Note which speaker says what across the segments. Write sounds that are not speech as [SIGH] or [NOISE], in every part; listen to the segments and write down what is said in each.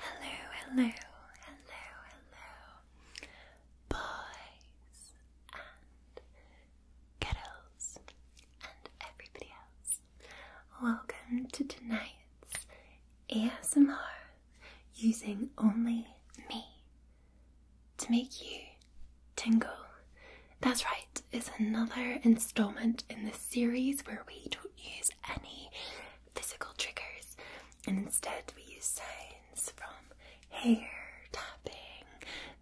Speaker 1: Hello, hello, hello, hello, boys and
Speaker 2: girls and everybody else. Welcome to tonight's ASMR using only me to make you tingle. That's right, is another installment in this series where we don't use any physical triggers and instead we use signs from hair tapping,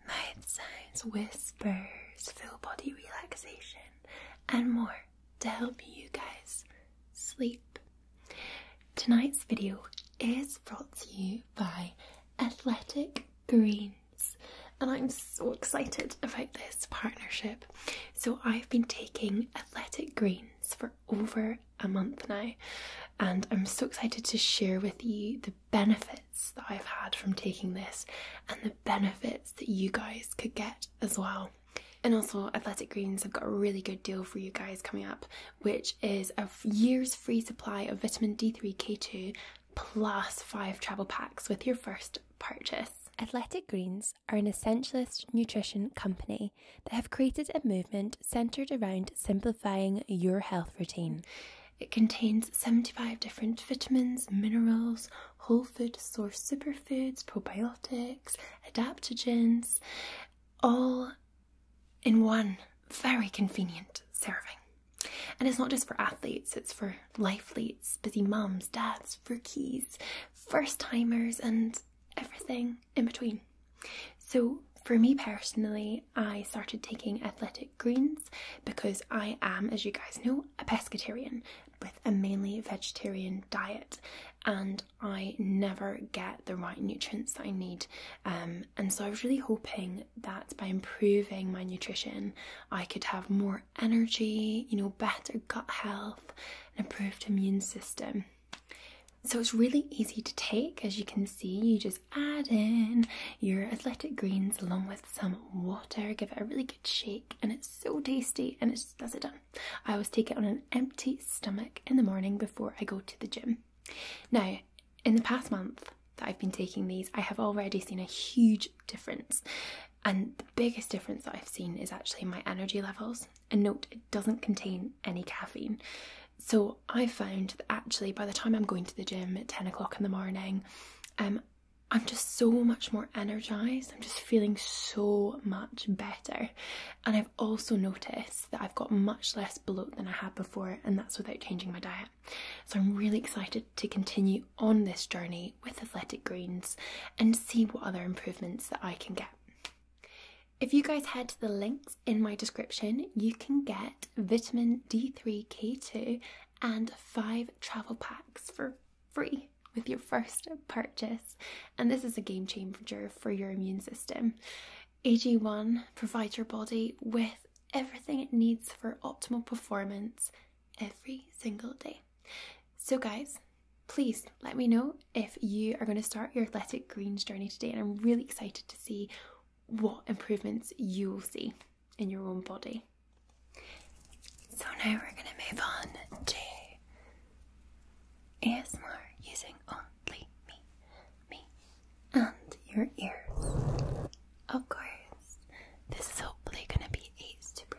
Speaker 2: mouth signs, whispers, full body relaxation, and more to help you guys sleep. Tonight's video is brought to you by Athletic Green. And I'm so excited about this partnership. So, I've been taking athletic greens for over a month now, and I'm so excited to share with you the benefits that I've had from taking this and the benefits that you guys could get as well. And also, Athletic Greens have got a really good deal for you guys coming up, which is a year's free supply of vitamin D3K2 plus five travel packs with your first purchase. Athletic Greens are an essentialist nutrition company that have created a movement centered around simplifying your health routine. It contains 75 different vitamins, minerals, whole food source superfoods, probiotics, adaptogens, all in one very convenient serving. And it's not just for athletes, it's for for life leads, busy moms, dads, rookies, first timers, and everything in between. So, for me personally, I started taking athletic greens because I am, as you guys know, a pescatarian with a mainly vegetarian diet, and I never get the right nutrients that I need. Um, and so, I was really hoping that by improving my nutrition, I could have more energy, you know, better gut health, and improved immune system. So it's really easy to take, as you can see. You just add in your athletic greens along with some water, give it a really good shake, and it's so tasty and it just does it done. I always take it on an empty stomach in the morning before I go to the gym. Now, in the past month that I've been taking these, I have already seen a huge difference. And the biggest difference that I've seen is actually my energy levels. And note, it doesn't contain any caffeine. So I found that actually by the time I'm going to the gym at 10 o'clock in the morning, um, I'm just so much more energized. I'm just feeling so much better. And I've also noticed that I've got much less bloat than I had before, and that's without changing my diet. So I'm really excited to continue on this journey with athletic greens and see what other improvements that I can get. If you guys head to the links in my description, you can get vitamin D3 K2 and five travel packs for free with your first purchase. And this is a game changer for your immune system. AG1 provides your body with everything it needs for optimal performance every single day. So, guys, please let me know if you are going to start your athletic greens journey today, and I'm really excited to see what improvements you will see in your own body. So, now we're going to move on to ASMR using
Speaker 1: only me, me, and your ears. Of course, this is hopefully going to be a super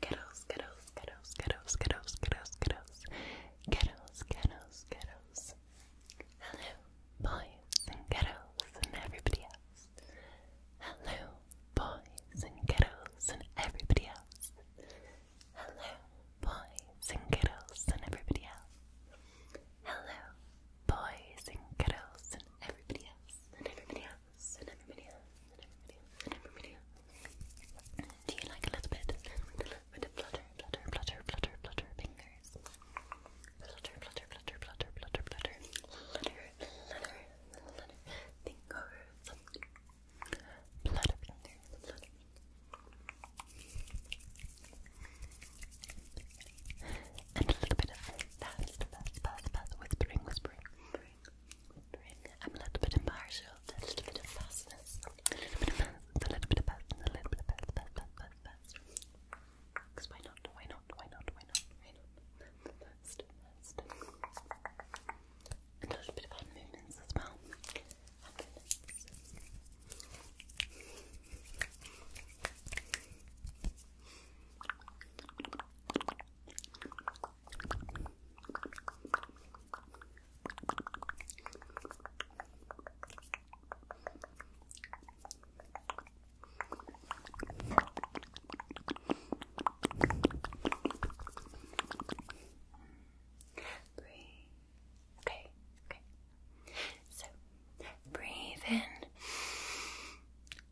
Speaker 1: Kettles, kettles, kettles, kettles, kettles, kettles, kettles, kettles, kettles, kettles. Hello, boys and kettles and everybody else. Hello, boys and kettles and everybody else. Hello, boys and kettles and everybody else. Hello, boys and kettles and everybody else and everybody else. Do you like a little bit, a little bit of flutter, flutter, flutter, flutter, flutter fingers? Flutter, flutter, flutter, flutter, flutter, flutter, flutter, flutter, flutter, fingers. Flutter fingers, flutter. And a little bit of fast, fast, fast, fast, whispering, whispering. Bring up a little bit of a little bit of fastness, a little bit of fast, a little bit of fast, a why not? Why not? Why not? Why not? Why not? Fast, And a little bit of hand movements as well. Breathe. Okay, okay. So breathe in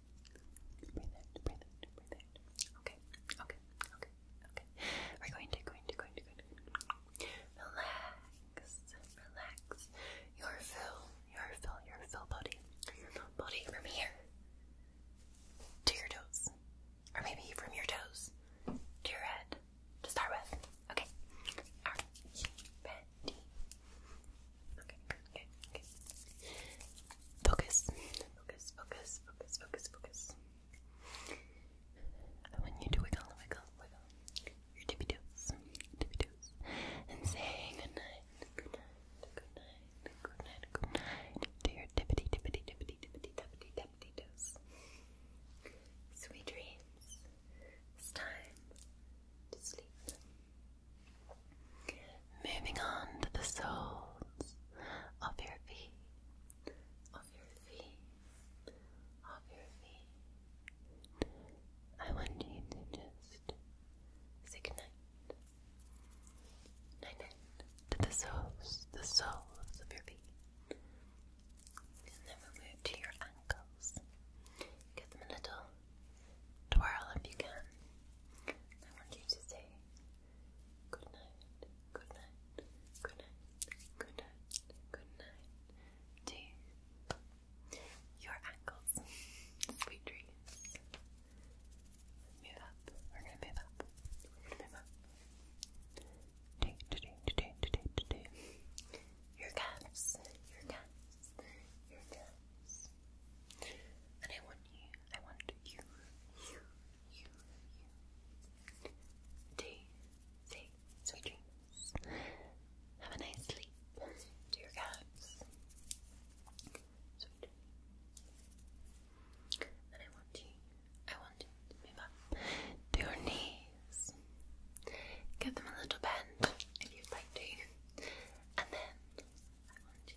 Speaker 1: Okay, okay, okay, okay. We're going to, going to, going to, going to. Relax, relax. Your fill, your fill, your fill body. body from here to your toes. Or maybe from your toes to your head to start with. Okay. Are Okay, okay, okay. Focus, focus, focus, focus, focus, focus. I want you to wiggle, wiggle, wiggle your tippy toes, tippy toes, and say goodnight, goodnight, goodnight, goodnight, goodnight to your tippity, tippity, tippity, tippity, tippity, toes. Sweet dreams. It's time to sleep. Moving on to the soles of your feet, of your feet, of your feet. I want you to just say goodnight. Night night to the soles, the soles of your feet. And then we'll move to your ankles. Give them a little twirl if you can. I want you to say Good night. Good night. Good night. Good night. Good night. To your ankles. Sweet dreams. Move up. We're gonna move up. We're gonna move up. Today, today, today, today, today. Your calves. Your calves. Your calves. And I want you, I want you, you, you, you to say sweet dreams. Have a nice sleep to calves. Sweet dreams. And I want you, I want you to move up to your knees. Give them a little bend if you'd like to. And then I want you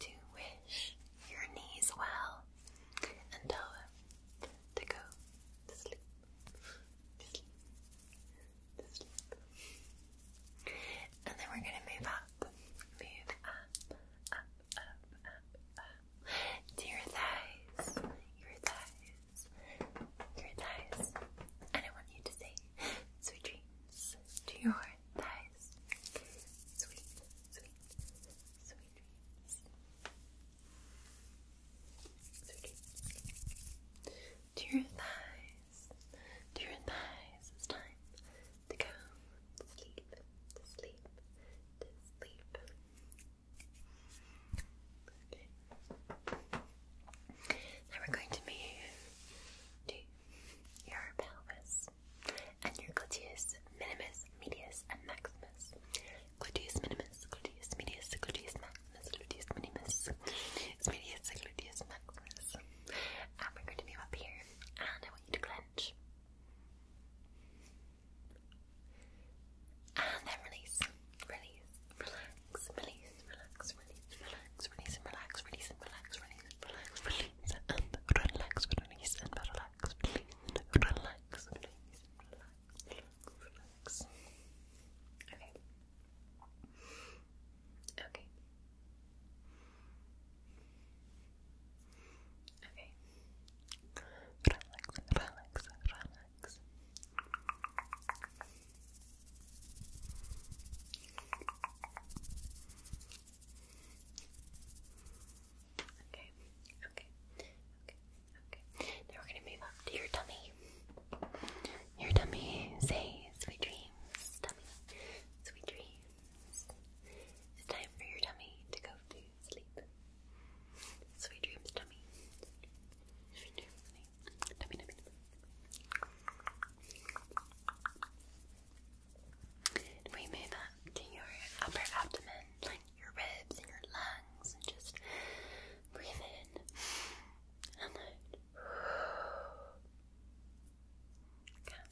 Speaker 1: to wish your knees well and tell them to go to sleep, to And then we're going to move up, move up, up, up, up, up to your thighs, your thighs, your thighs. And I want you to say sweet dreams to your nice, sweet, sweet, sweet dreams. Sweet dreams. To your thighs, to your thighs, it's time to go sleep, sleep, sleep. Now we're going to move to your pelvis. Claudius, and your Claudius Minimus, Medius, and Maximus. Claudius Minimus, Claudius Medius, Claudius Maximus, Claudius Minimus, it's Medius, Claudius Maximus. And we going to move up here, and I want you to clench. And then release, release, relax, release, relax, release, relax relax, release and relax, release and relax, release and relax, release and relax, release and relax, release and relax, release and relax, relax, relax. Okay. Okay. Okay. Relax, relax, relax. Okay, okay, okay, okay. Now we're gonna move up to your tummy. Your tummy, say sweet dreams, tummy, sweet dreams. It's time for your tummy to go to sleep. Sweet dreams, tummy. tummy, tummy. tummy. And we move up to your upper abdomen, your ribs and your lungs, and just breathe in and out. Okay.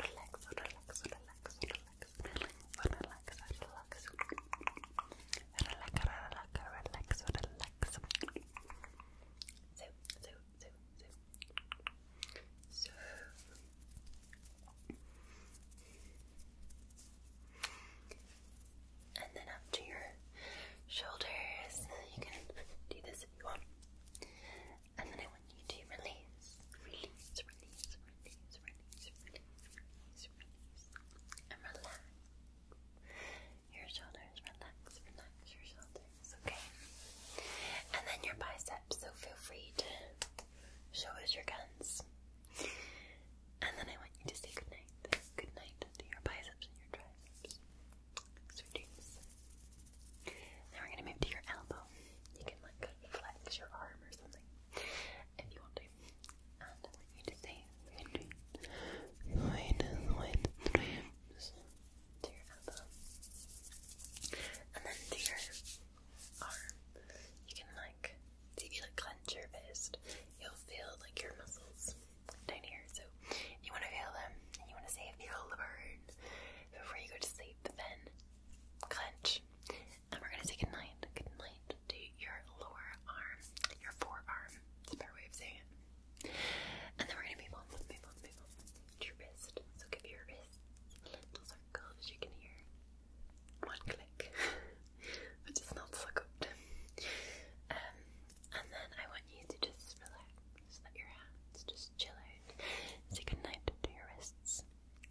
Speaker 1: Relax, relax, relax, relax, relax, relax, relax. Relax, relax, relax, relax. So, so, so, and then up to your shoulders. You can do this if you want. And then I want you to release, release, release, release, release, release and relax your shoulders. Relax, relax your shoulders, okay? And then your biceps, so feel free to show us your guns. And then I want you to say goodnight. Goodnight Do your biceps and your triceps. dreams. Now we're gonna move to your elbow. You can like flex your arm or something if you want to. And I want you to say sweet dreams. dreams to your elbow, and then to your arm. You can like, if you like clench your fist, you'll feel like your muscles down here. So you want to feel them, and you want to say feel the burn before you go to sleep. Then clench, and we're gonna say good night, good night to your lower arm, your forearm. It's a better way of saying it. And then we're gonna move on, move on, move on to your wrist. So give your wrist little circle you can hear. One click, [LAUGHS] which is not so good. Um, and then I want you to just relax, let your hands just chill out. Say goodnight to your wrists.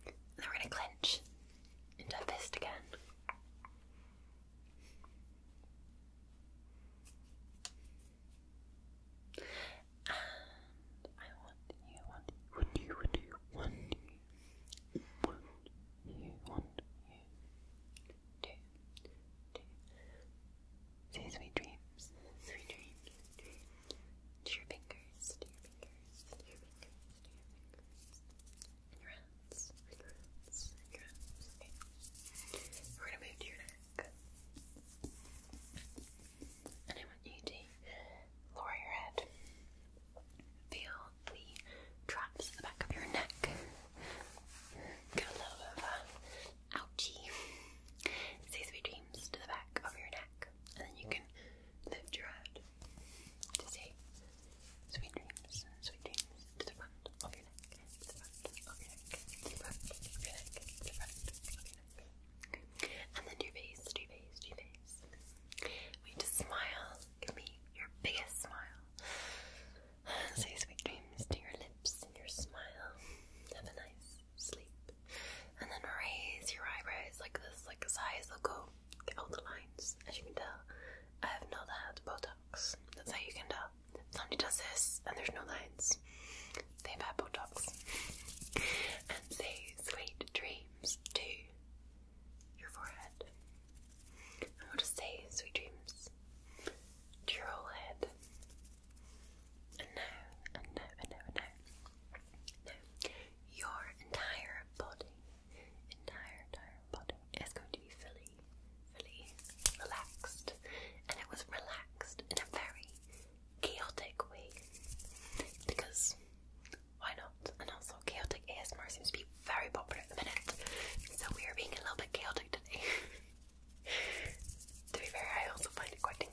Speaker 1: And then we're gonna clench into a fist again. And I want you, want you, want you, want you, want you, want you, to, to sweet dreams, sweet dreams, to your fingers, to your fingers, to your fingers, to your fingers, and your hands, and your hands, and your hands, We're gonna move to your and I want you to lower your head. Feel the drops at the back of your neck. Get a little bit of ouchie. Say sweet dreams to the back of your neck. And then you can lift your head to say sweet dreams, sweet dreams to the front of your neck. And then your face, your face, your face. We just smile. Give me your biggest smile. Say sweet dreams to your lips and your smile. Have a nice sleep. And then raise your eyebrows like this, like this eyes will go. Get all the lines, as you can tell. I have not had Botox. That's how you can tell somebody does this and there's no lines. They've had Botox. and say sweet dreams to your forehead. I'm going to say sweet dreams to your whole head. And now, and now, and now, and now. Now, your entire body, entire, entire body is going to be fully fully relaxed, and it was relaxed in a very chaotic way because why not? And also, chaotic ASMR seems to be very popular at the minute, so we are being a little bit chaotic today. [LAUGHS] to be fair, I also find it quite tingly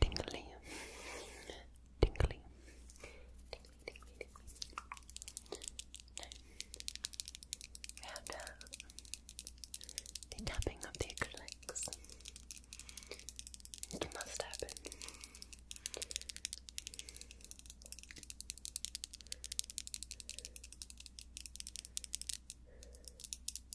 Speaker 1: tingly, tingly, tingly, tingly, We have the tapping of the acrylics. It must happen.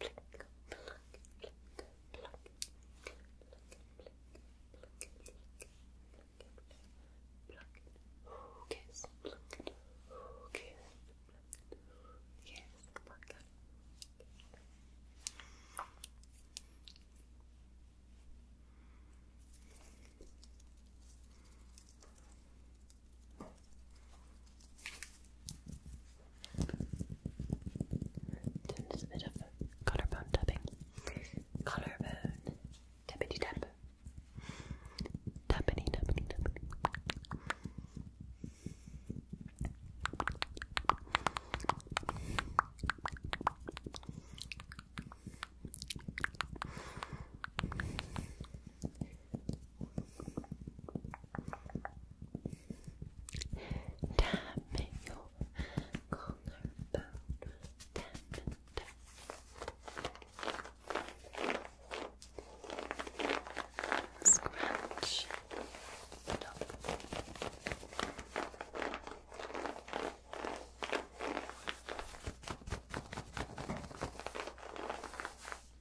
Speaker 1: pluck, pluck, pluck, pluck, pluck, pluck, kiss, pluck, kiss, pluck, yes, pluck. Pluck, Doing this bit of collarbone tapping. Collarbone. Tappity tap. Tappity tappity tappity. Tap your collarbone. Tap, tap. Scratch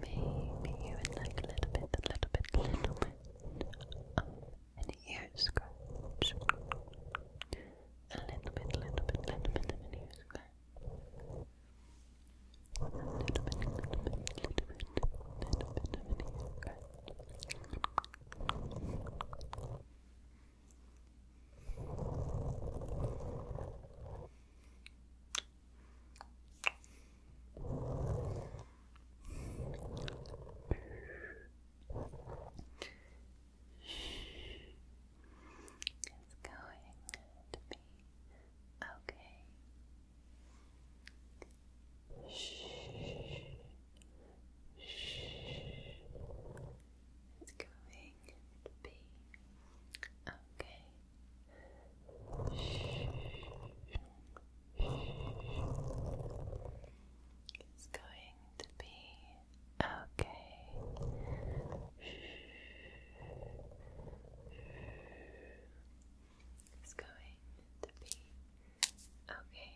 Speaker 1: Maybe you like a little bit, a little bit, a little bit of an ear scratch. A little bit, little bit, little bit of an ear scratch. A little bit, little bit, little bit, little bit of an ear scratch. It's going to be okay. Shh. Shh. It's going to be okay. Shh. It's going to be okay. It's going to be Okay.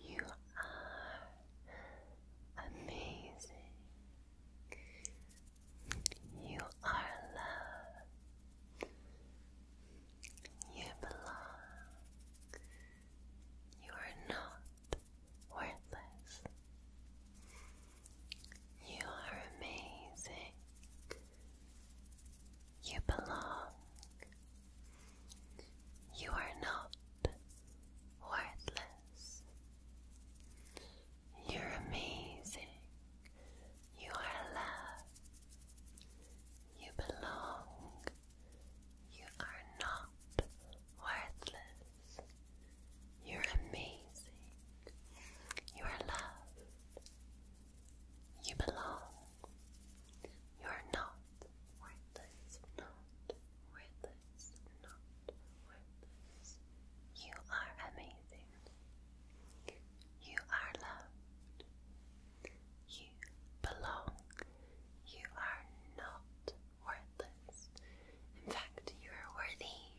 Speaker 1: You are amazing. You are love. You belong. You are not worthless. You are amazing. You belong. You are not worthless. You're amazing. You are love. You belong. You are not worthless. You're amazing. You are loved. You belong. You are not worthless, not worthless, not worthless. You are amazing. You are loved. You belong. You are not worthless. In fact, you are worthy.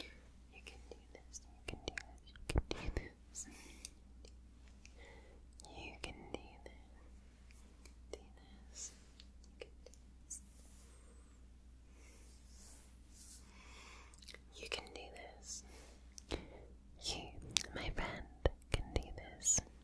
Speaker 1: You can do this, you can do this, you can do this. You can do this. Do this. You can do this. You my friend, can do this.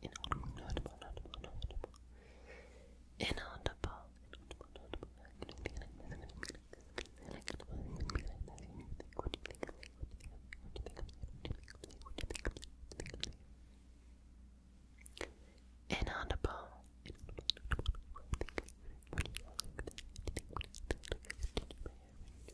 Speaker 1: Inaudible, inaudible, inaudible, inaudible. Inaudible, inaudible, inaudible. Inaudible.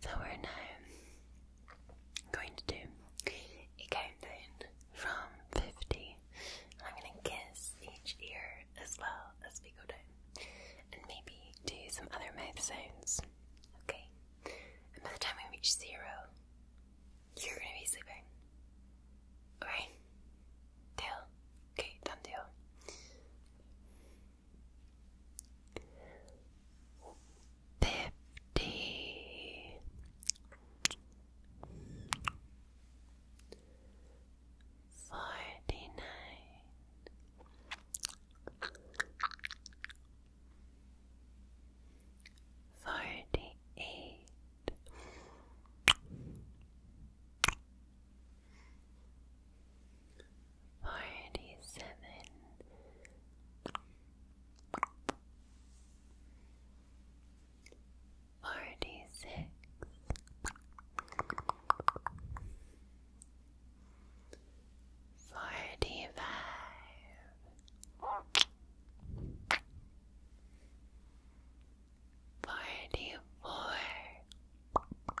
Speaker 1: So we're now going to do a countdown from 50. I'm going to kiss each ear as well as we go down. And maybe do some other mouth sounds. Okay? And by the time we reach zero, you're going to be sleeping. Alright? Deal? Okay, done deal fifty forty nine forty eight Forty seven, forty six, forty five, forty four.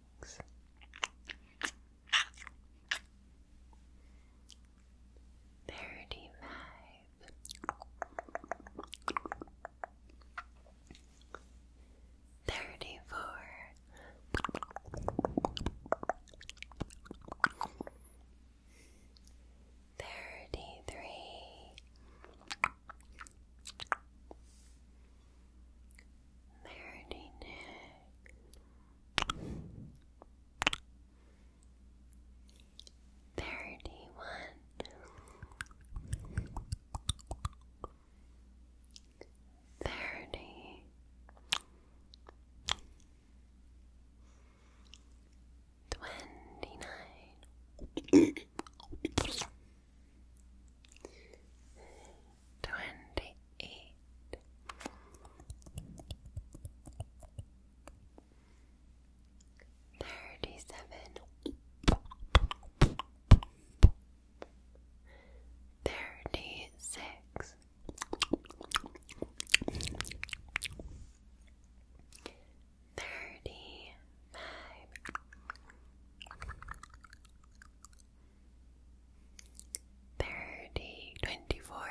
Speaker 1: things. Thirty five, thirty four, thirty three. Marinate neck. Thirty one. Thirty. Twenty nine twenty eight, thirty seven, thirty six. 35 Thirty, twenty-four.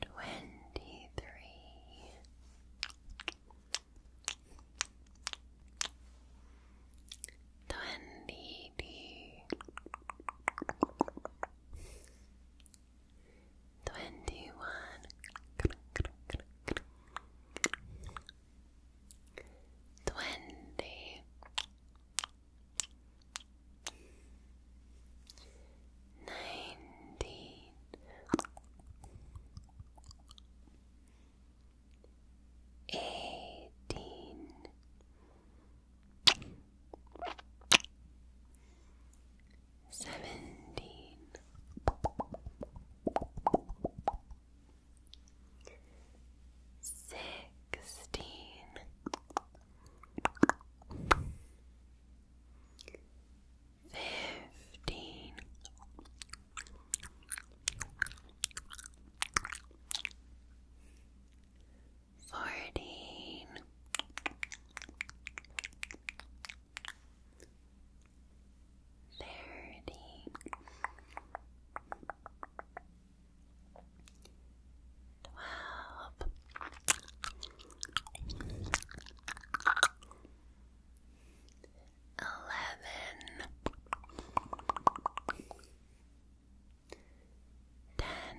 Speaker 1: Twenty-three, twenty-two, twenty one, twenty nineteen. Eighteen, seventeen, sixteen, fifteen. Fourteen, thirty twelve eleven ten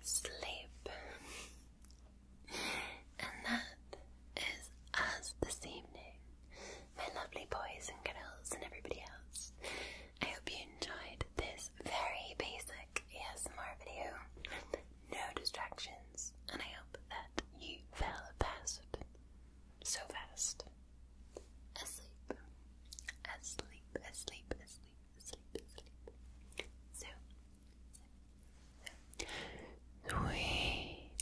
Speaker 1: Sleep. and that is us this evening, my lovely boys and girls and everybody else. I hope you enjoyed this very basic ASMR video. No distractions, and I hope that you fell past so fast. Asleep. Asleep, asleep, asleep sleep, sleep. So, sweet,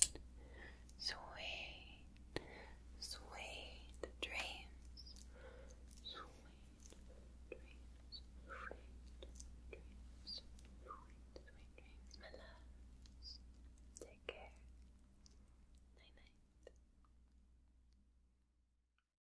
Speaker 1: sweet, sweet dreams, sweet dreams, sweet dreams, sweet, sweet dreams, Take care. Night night.